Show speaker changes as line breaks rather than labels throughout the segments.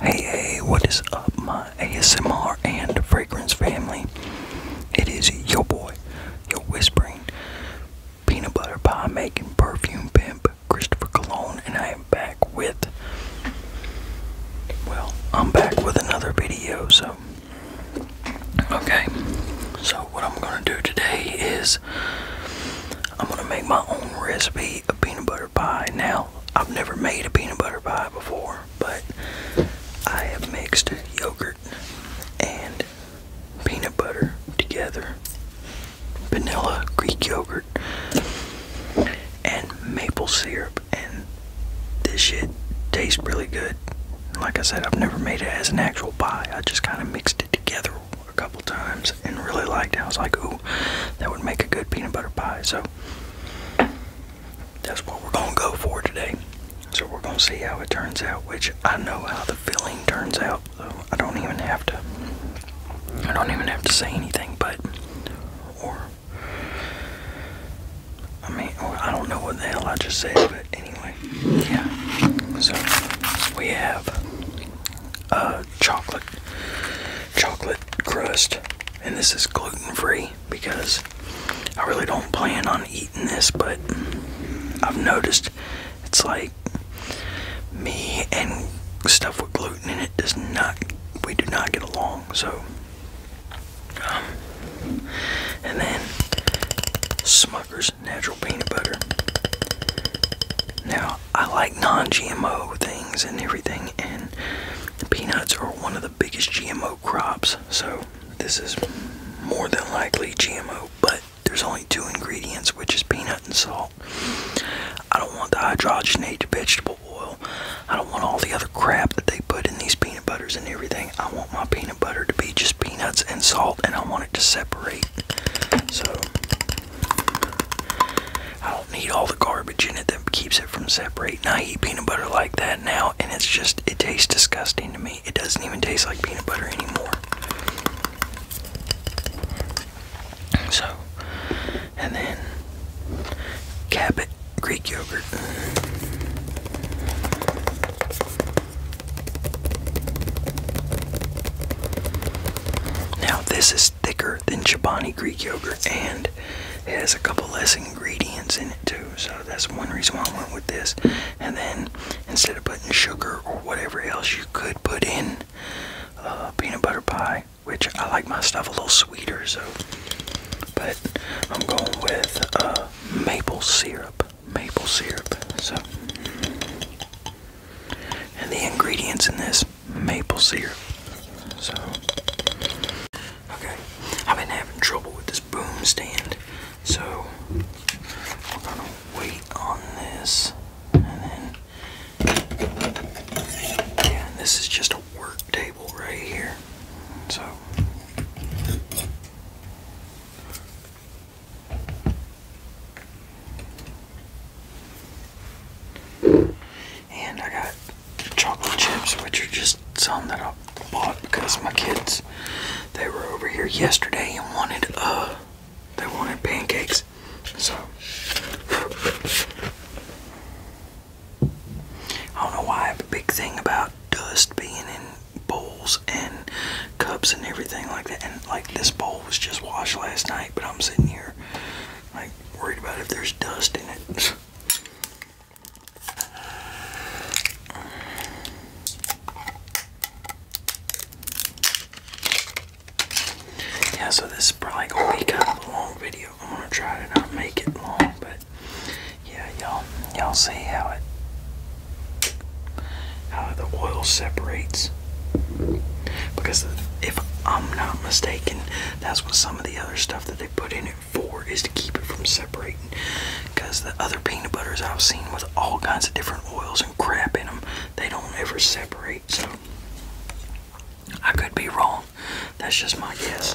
Hey, hey, what is up, my ASMR and fragrance family? It is your boy, your whispering peanut butter pie making perfume pimp, Christopher Cologne, and I am back with. Well, I'm back with another video, so. Okay, so what I'm gonna do today is I'm gonna make my own recipe of peanut butter pie. Now, I've never made a peanut butter pie before, but I have mixed yogurt and peanut butter together, vanilla, Greek yogurt, and maple syrup, and this shit tastes really good. Like I said, I've never made it as an actual pie, I just kind of mixed it together a couple times and really liked it. I was like, ooh, that would make a good peanut butter pie. So that's what we're going to go for today. So we're going to see how it turns out, which I know how the filling turns out. So I don't even have to, I don't even have to say anything, but, or, I mean, I don't know what the hell I just said, but anyway, yeah. So we have a uh, chocolate, chocolate crust, and this is gluten free because I really don't plan on eating this, but I've noticed it's like me and stuff with gluten in it does not, we do not get along, so. and then Smucker's natural peanut butter. Now, I like non-GMO things and everything, and peanuts are one of the biggest GMO crops. So this is more than likely GMO, but there's only two ingredients, which is peanut and salt. I don't want the hydrogenated vegetable oil. I don't want all the other crap that they put in these peanut butters and everything. I want my peanut butter to be just peanuts and salt, and I want it to separate. So I don't need all the garbage in it that keeps it from separating. I eat peanut butter like that now, and it's just, it tastes disgusting to me. It doesn't even taste like peanut butter anymore. So, and then Cabot Greek yogurt. Now, this is thicker than Chobani Greek yogurt and it has a couple less ingredients in it too. So that's one reason why I went with this. And then instead of putting sugar or whatever else, you could put in uh, peanut butter pie, which I like my stuff a little sweeter. So, but I'm going with uh, maple syrup. Maple syrup. So, and the ingredients in this maple syrup. So, okay, I've been having trouble with this boom stand, so we're gonna wait on this, and then yeah, this is just a work table right here. So. And I got chocolate chips, which are just some that I bought because my kids they were over here yesterday and wanted uh they wanted pancakes. So I don't know why I have a big thing about dust being in bowls and cups and everything like that. And like this bowl was just washed last night, but I'm sitting here I'm worried about if there's dust in it. Yeah, so this is probably gonna be kind of a long video. I'm gonna try to not make it long, but yeah, y'all y'all see how it how the oil separates. Because if I'm not mistaken, that's what some of the other stuff that they put in it for is to keep it from separating. Because the other peanut butters I've seen with all kinds of different oils and crap in them, they don't ever separate. So I could be wrong. That's just my guess.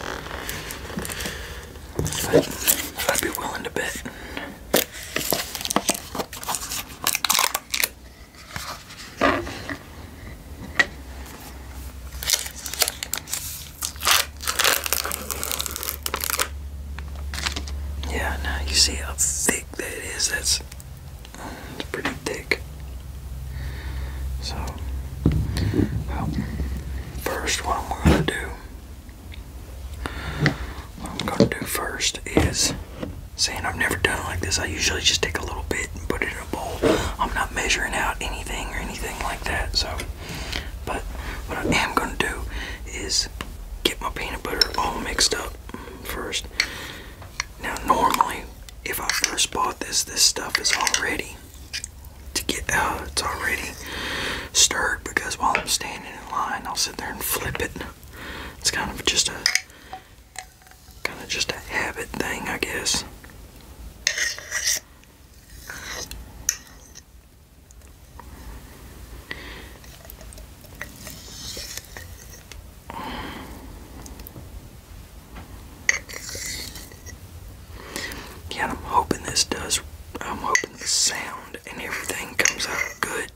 But I'd be willing to bet. Yeah, now you see how thick that is. That's pretty thick. So, well, first, what I'm going to do, what I'm going to do first is, saying I've never done it like this, I usually just take a little bit and put it Bowl. I'm not measuring out anything or anything like that. So, but what I am gonna do is get my peanut butter all mixed up first. Now, normally, if I first bought this, this stuff is already to get out. Uh, it's already stirred because while I'm standing in line, I'll sit there and flip it. It's kind of just a kind of just a habit thing, I guess. Yeah, I'm hoping this does. I'm hoping the sound and everything comes out good.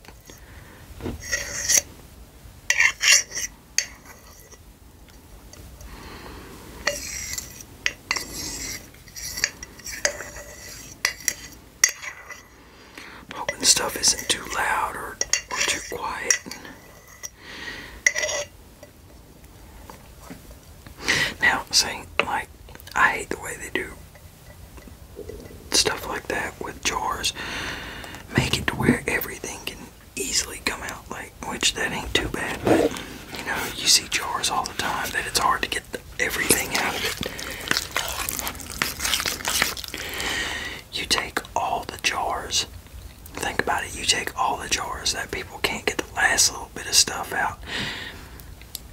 I'm hoping stuff isn't too loud or, too quiet. Now, saying like, I hate the way they do stuff like that with jars. Make it to where everything can easily come out like which that ain't too bad, but you know, you see jars all the time that it's hard to get everything out of it. You take all the jars, think about it, you take all the jars that people can't get the last little bit of stuff out.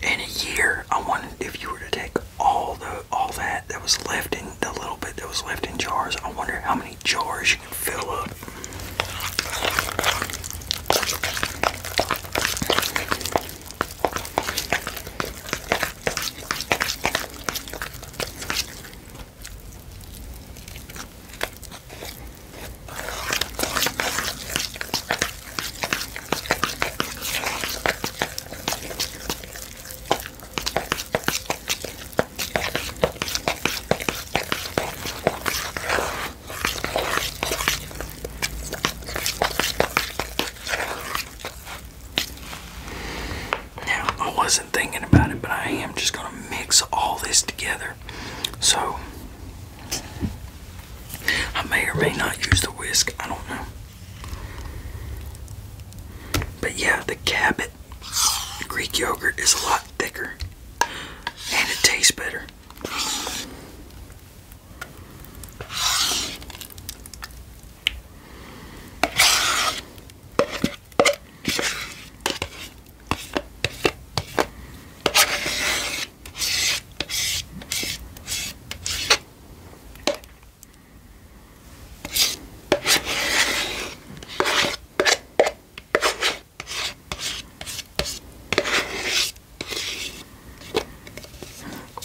In a year, I wanted if you were to take all the all that that was left in the little bit that was left in jars, I wonder how many many jars you can fill up. Now, I wasn't thinking about it, but I am just going to mix all this together. So, I may or may not use the whisk, I don't know. But yeah, the Cabot Greek yogurt is a lot thicker and it tastes better.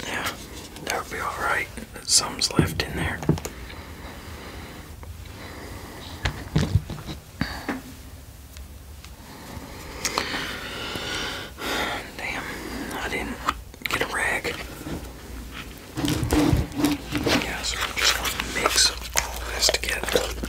Yeah, that'll be alright. Some's left in there. Damn, I didn't get a rag. Yeah, so we're just mix all this together.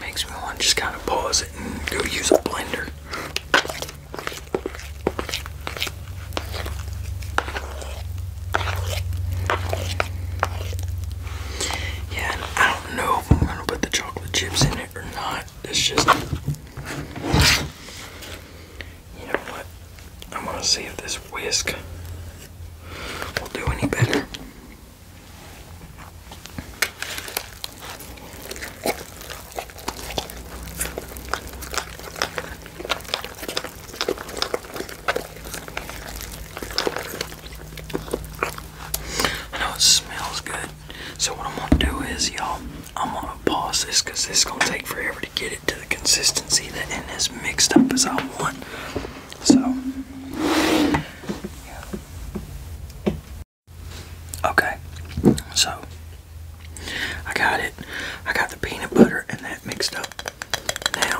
Makes me want to just kind of pause it and go use a blender. Yeah, I don't know if I'm gonna put the chocolate chips in it or not. It's just. You know what? I'm gonna see if this whisk will do any better. I know it smells good, so what I'm gonna do is, y'all, I'm gonna pause this because this is gonna take forever to get it to the consistency that and mixed up as I want. So, yeah. Okay, so I got it. I got the peanut butter and that mixed up. Now,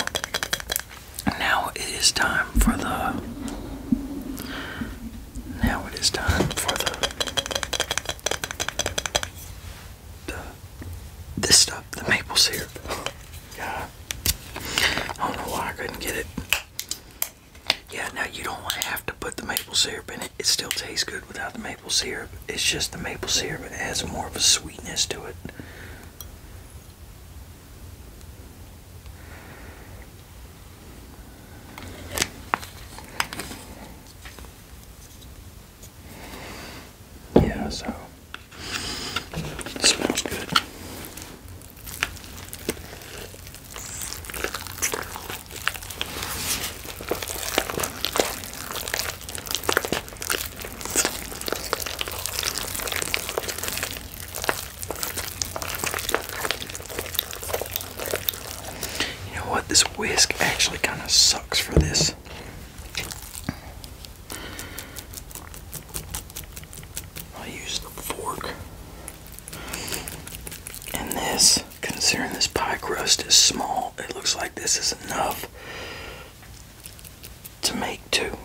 now it is time for the. Now it is time for the. the this stuff, the maple syrup. God. I don't know why I couldn't get it. Yeah, now you don't want to have to put the maple syrup in it. It still tastes good without the maple syrup. It's just the maple syrup it adds more of a sweetness to it. Yeah, so smells good. You know what? This whisk actually kind of sucks for this. I use the fork. And this, considering this pie crust is small, it looks like this is enough to make two.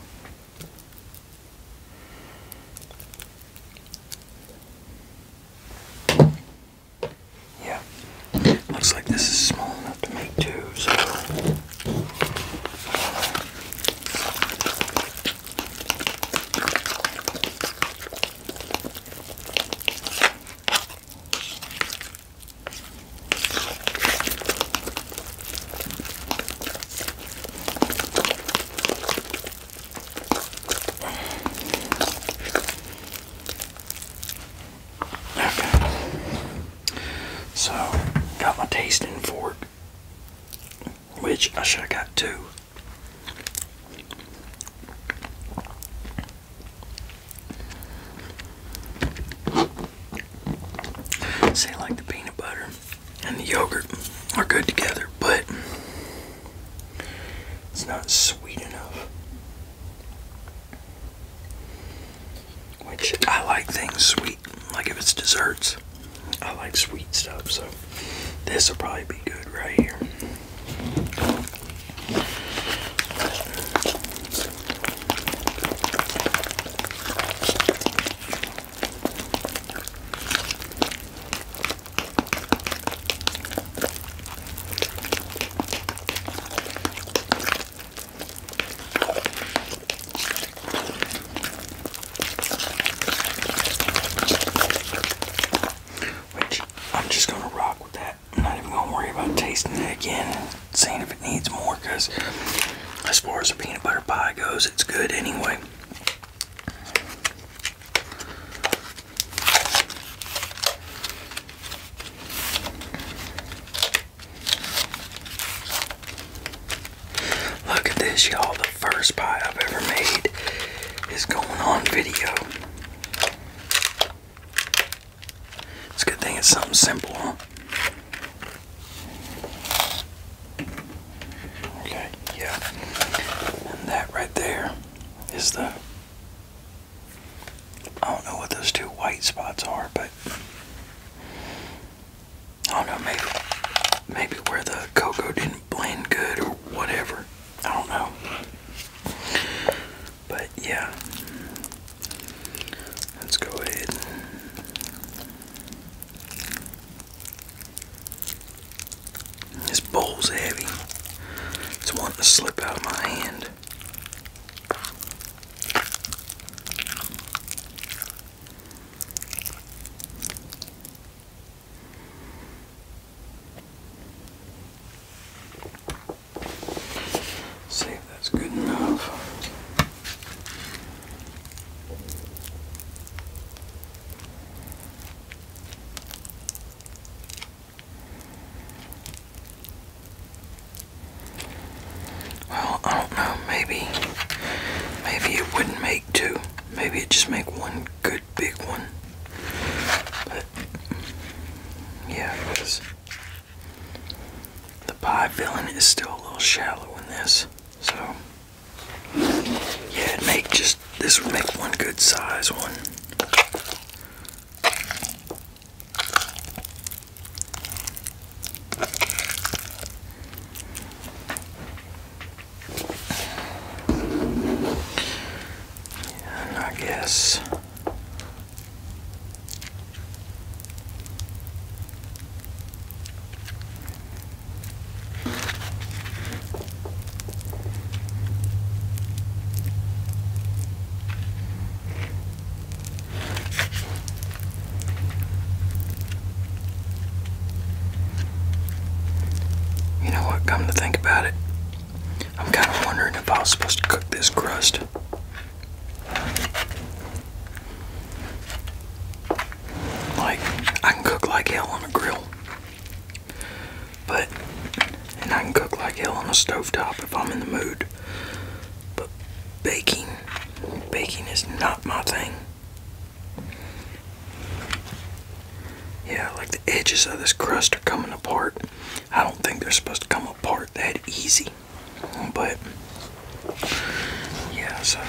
Yeah, looks like this is small enough to make two, so. Okay. So, got my taste in fork which I should have got two. Say like the peanut butter and the yogurt are good together, but it's not sweet enough. Which I like things sweet. Like if it's desserts, I like sweet stuff. So this will probably be good right here. Which I'm just gonna rock with that. I'm not even gonna worry about tasting it again and seeing if it needs more because as far as the peanut butter pie goes, it's good anyway. Look at this, y'all. The first pie I've ever made is going on video. It's a good thing it's something simple, huh? Okay, yeah. And that right there is the. I don't know what those two white spots are, but I don't know, maybe, maybe where the cocoa didn't blend good or whatever. I don't know. But yeah, let's go ahead This bowl's heavy. It's wanting to slip out of my hand. See if that's good enough. Well, I don't know, maybe maybe it wouldn't make two Maybe it just make one good big one. But yeah, because the pie filling is still a little shallow in this. So yeah, it make just this would make one good size one. And I guess you know what? Come to think about it, I'm kind of wondering if I was supposed to cook this crust. Like, I can cook like hell on a grill. But, and I can cook like hell on a stovetop if I'm in the mood. But baking, baking is not my thing. Yeah, like the edges of this crust are coming apart. I don't think they're supposed to come apart that easy. But, yeah, so.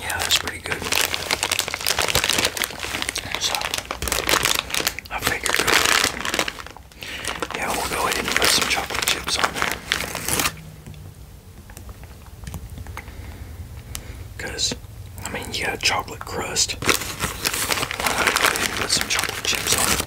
Yeah, that's pretty good. So, I figured yeah, we'll go ahead and put some chocolate chips on there. Because, I mean, you got chocolate crust. I'll put some chocolate chips on it.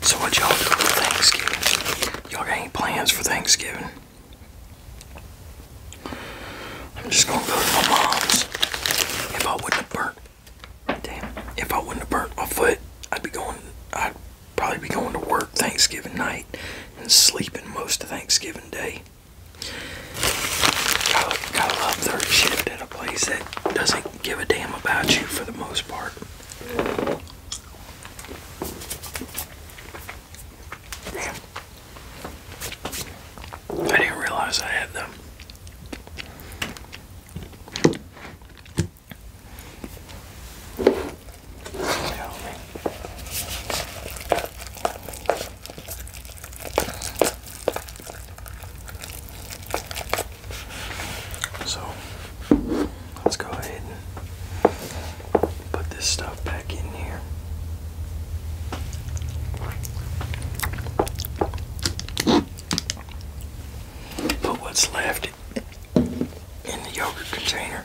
So what y'all do for Thanksgiving? Y'all got any plans for Thanksgiving? I'm just gonna go to my mom's. If I wouldn't have burnt, damn, if I wouldn't have burnt my foot, I'd be going, I'd probably be going to work Thanksgiving night and sleeping most of Thanksgiving day. Gotta, love third shift a place that doesn't give a damn about you for the most part. I didn't realize I had them. So let's go ahead and put this stuff back in here. Put what's left in the yogurt container.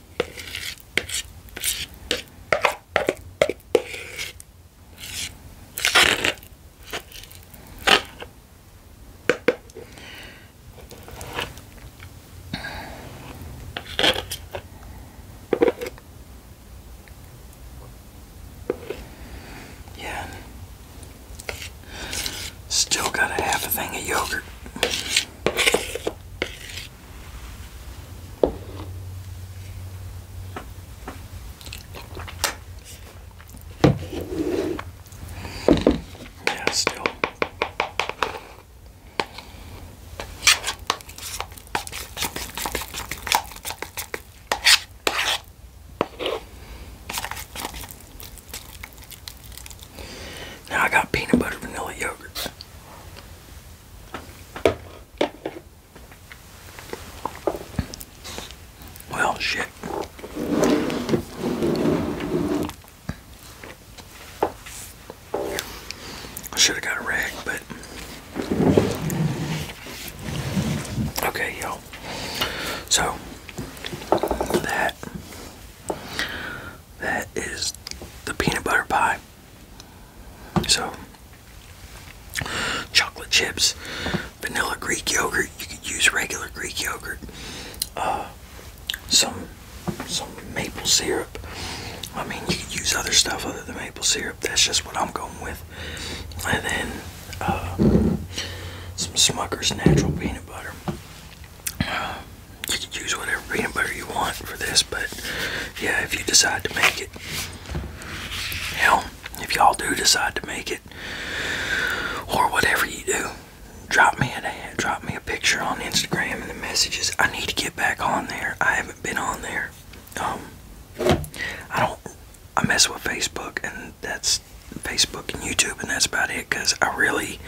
Yeah. Still got a half a thing of yogurt. Yeah, still. Now I got peanut butter vanilla yogurt. Well, shit. I should have got a rag, but. Okay, y'all. So, that that is the peanut butter pie. So, chocolate chips, vanilla Greek yogurt. You could use regular Greek yogurt. Uh, some some maple syrup. I mean, you could use other stuff other than maple syrup. That's just what I'm going with. And then uh, some Smucker's natural peanut butter you can use whatever peanut butter you want for this, but yeah, if you decide to make it, hell, if y'all do decide to make it, or whatever you do, drop me a drop me a picture on Instagram and the messages. I need to get back on there. I haven't been on there. Um, I don't. I mess with Facebook, and that's Facebook and YouTube, and that's about it. Cause I really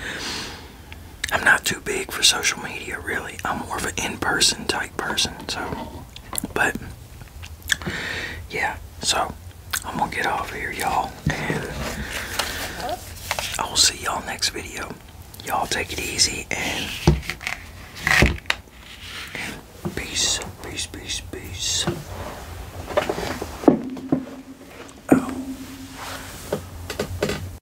I'm not too big for social media, really. I'm more of an in-person type person. So, but yeah. So I'm gonna get off here, y'all, I will see y'all next video. Y'all take it easy and, peace, peace, peace, peace. Oh.